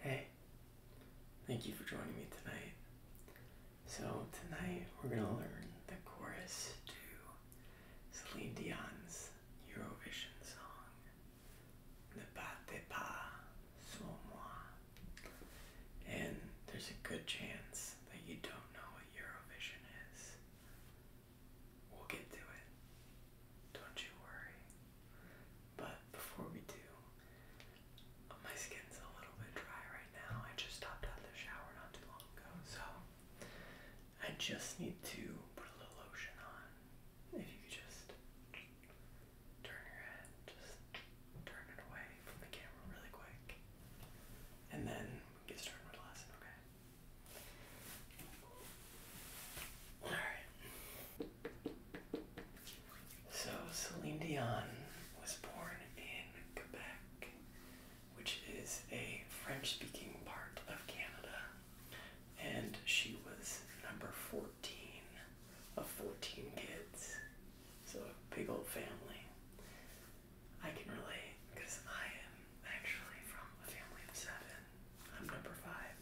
Hey, thank you for joining me tonight. So, tonight we're going to learn the chorus to Celine Dion's Eurovision song, Ne battez pas sur moi. And there's a good chance that you don't know what Eurovision is. We'll get to it. Don't you worry. But before we do, uh, my skin's a little bit dry right now. I just stopped out the shower not too long ago, so I just need to put a little lotion on. If you could just turn your head, just turn it away from the camera really quick. And then get started with the lesson, okay? All right. So Celine Dion was born in Quebec, which is a French-speaking part of Canada, and she was number fourteen of fourteen kids, so a big old family. I can relate because I am actually from a family of seven. I'm number five.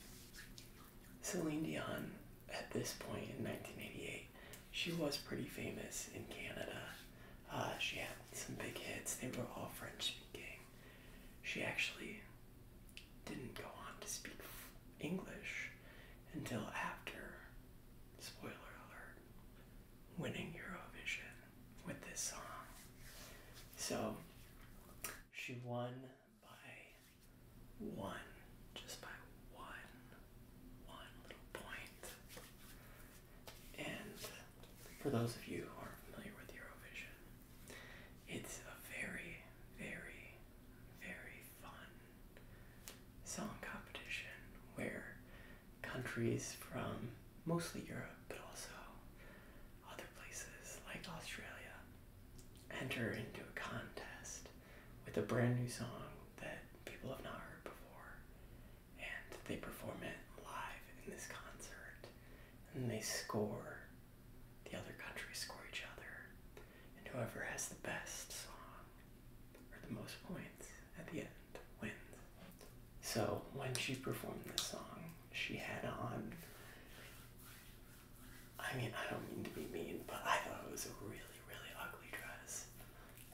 Celine Dion, at this point in 1988, she was pretty famous in Canada. Uh, she had some big hits, they were all French speaking. She actually didn't go on to speak English until after, spoiler alert, winning Eurovision with this song. So she won by one, just by one, one little point. And for those of you who aren't familiar with Eurovision, it's a very, very, very fun song competition where countries from mostly Europe, but also other places like Australia, enter into a contest with a brand new song that people have not heard before, and they perform it live in this concert, and they score. The other countries score each other, and whoever has the best song or the most points at the end so when she performed this song, she had on. I mean, I don't mean to be mean, but I thought it was a really, really ugly dress.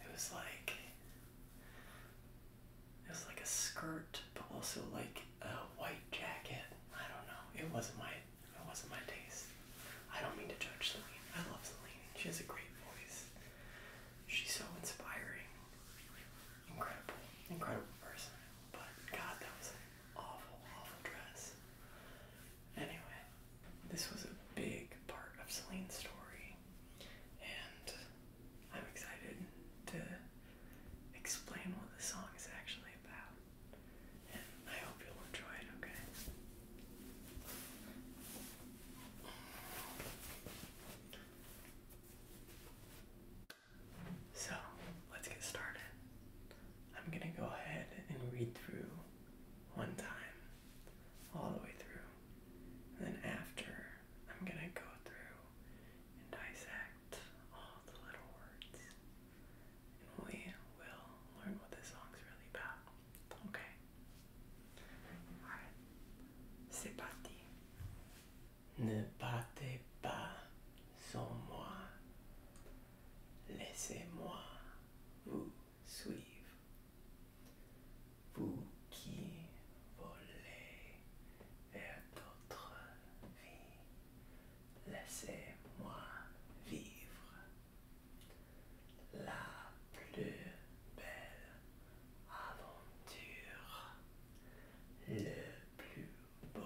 It was like. It was like a skirt, but also like a white jacket. I don't know. It wasn't my. It wasn't my taste. I don't mean to judge Celine. I love Celine. She has a great voice. She's so inspiring. Incredible, incredible person. But God, that was an awful, awful dress. Anyway, this was a big part of Celine's story, and I'm excited to explain what the song is actually about. And I hope you'll enjoy it, okay? So let's get started. I'm going to go ahead and read through one time, all the way through. And then after, I'm going to go through and dissect all the little words. And we will learn what this song's really about. Okay. C'est parti. Ne partez pas sans moi. Laissez-moi vous suivre. Vous qui volez vers d'autres vies. Laissez-moi vivre la plus belle aventure, le plus beau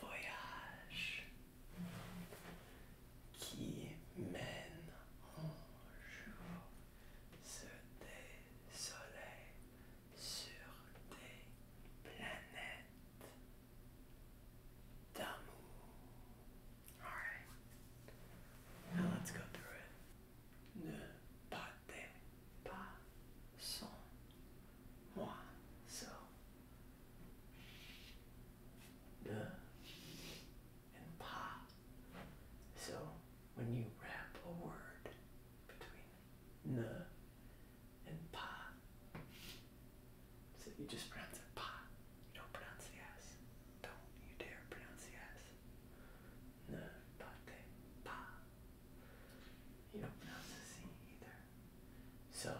voyage qui mène en jour ce désolé sur des planètes d'amour. Alright. Now let's go through it. Ne partez pas sans moi seul. Ne and pas. So when you wrap a word between ne and pa, so you just pronounce it pa. You don't pronounce the S. Don't you dare pronounce the S. No, pate, pa. You don't pronounce the C either. So,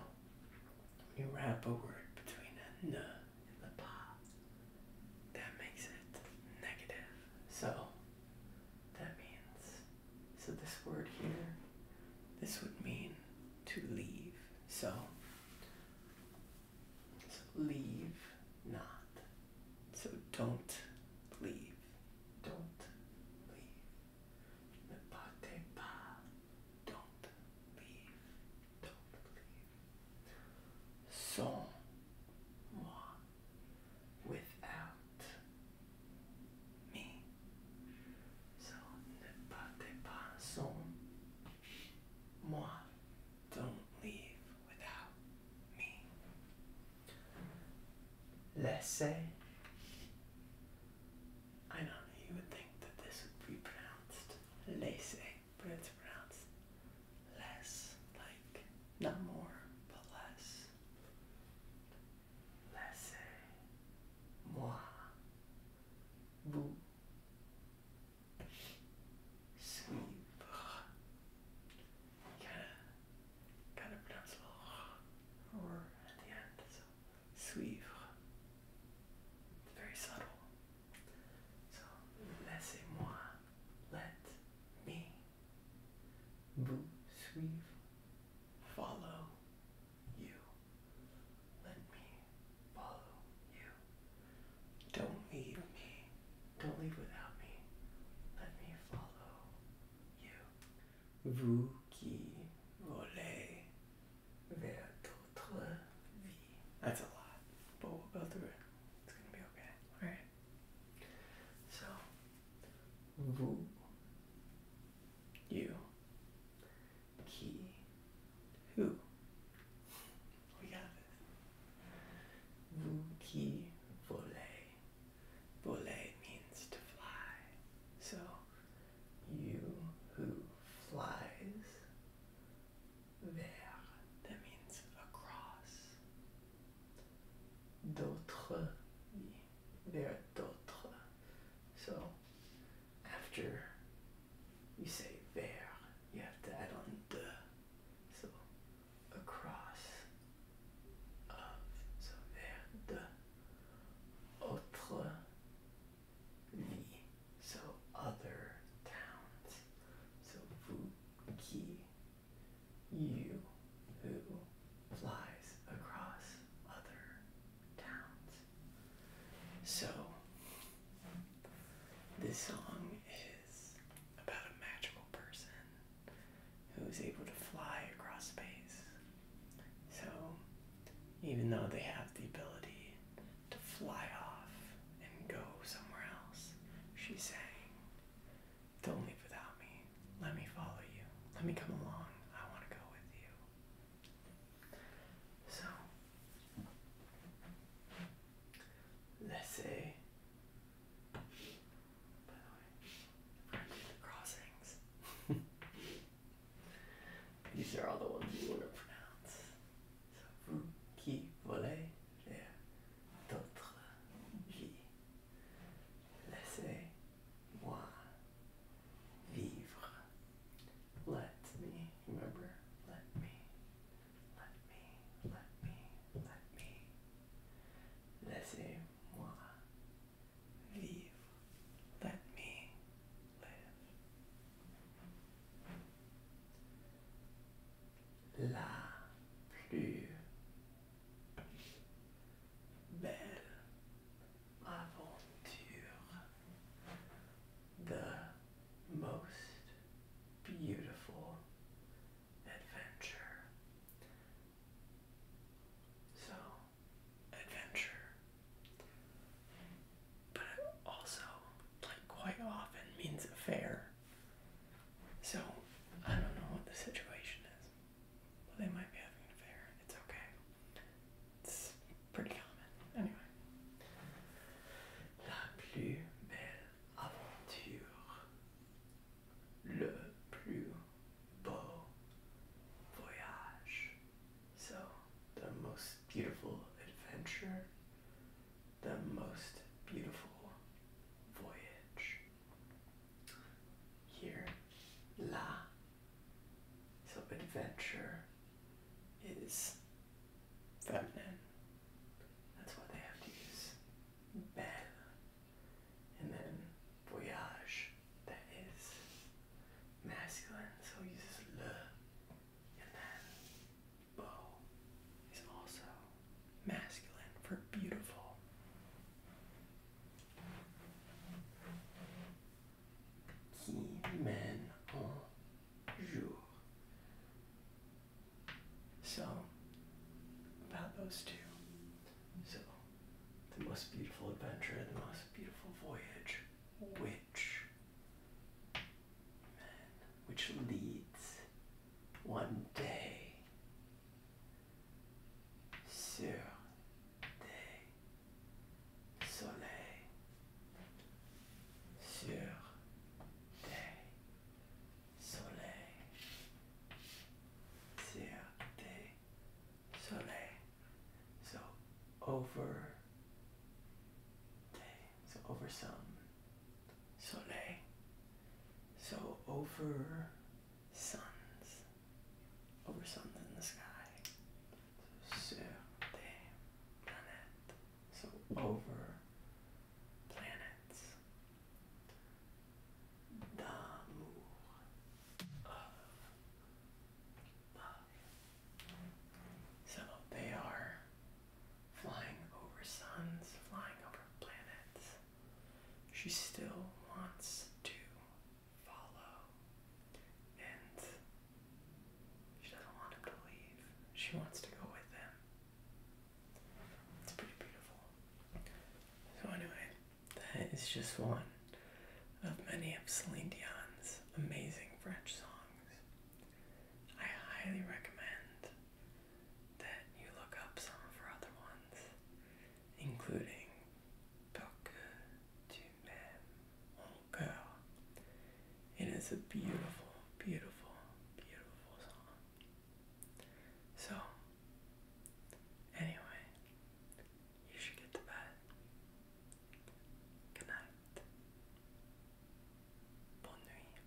when you wrap a word between a N and the pa, that makes it negative. So, that means, so this word here, this would mean to leave. So, So leave not. So don't leave. Don't leave. Ne partez pas. Don't leave. Don't leave. Sans moi. Without me. So ne partez pas. Sans Moi, don't leave without me. Laissez. I know you would think that this would be pronounced laissez, but it's pronounced less, like not more, but less. Laissez moi vous suivre. You gotta, gotta pronounce at the end. So, It's very subtle. So, laissez-moi, let me, vous suivre, follow you. Don't leave me. Don't leave without me. Let me follow you. Vous qui vers d'autres vies. That's a lot, but we'll go through it. It's gonna be okay. Alright? So, vous, you, Ki. Who? We got this. Vous qui volez. Voler means to fly. So, you who flies. Vers. That means across. D'autres. Vers d'autres. So, after you say there, you have to add on the. So across of. So vers de autre vie. So other towns. So vous qui, you who flies across other towns. So, this song is about a magical person who is able to fly across space. So, even though they have the ability to fly off and go somewhere else, she's saying, Don't leave without me. Let me follow you. Let me come along. I want to go with you. So let's say by the way, we to the crossings. These are all the ones you wanna pronounce. vous qui volez d'autres vies. moi vivre. Let me, remember, let me, let me, let me, let me. Laissez-moi vivre. Let me live. La plus belle I want l'aventure, the most beautiful adventure. So, adventure. But also, like, quite often means affair. So, I don't know what the situation is they might be having an affair. It's okay. It's pretty common. Anyway. La plus belle aventure. Le plus beau voyage. So, the most beautiful adventure. The most beautiful voyage. Here, la. So adventure is feminine. That's why they have to use belle. And then voyage, that is masculine, so it uses le. And then beau is also masculine for beautiful. So, about those two. So, the most beautiful adventure, the most beautiful voyage, which men, which leads one day sur des soleils, sur des soleils, sur des soleils. So over so over some soleil. So over suns over suns in the sky. So the planet. So over planets. D'amour of love. So they are flying over suns, flying over planets she still wants to follow and she doesn't want to believe. She wants to go with him. It's pretty beautiful. So, anyway, that is just one of many of Celine Dion's amazing French songs. I highly recommend that you look up some of other ones, including Parker du Même Mon Cœur. It is a beautiful, beautiful, beautiful song. So, anyway, you should get to bed. Good night. Bonne nuit.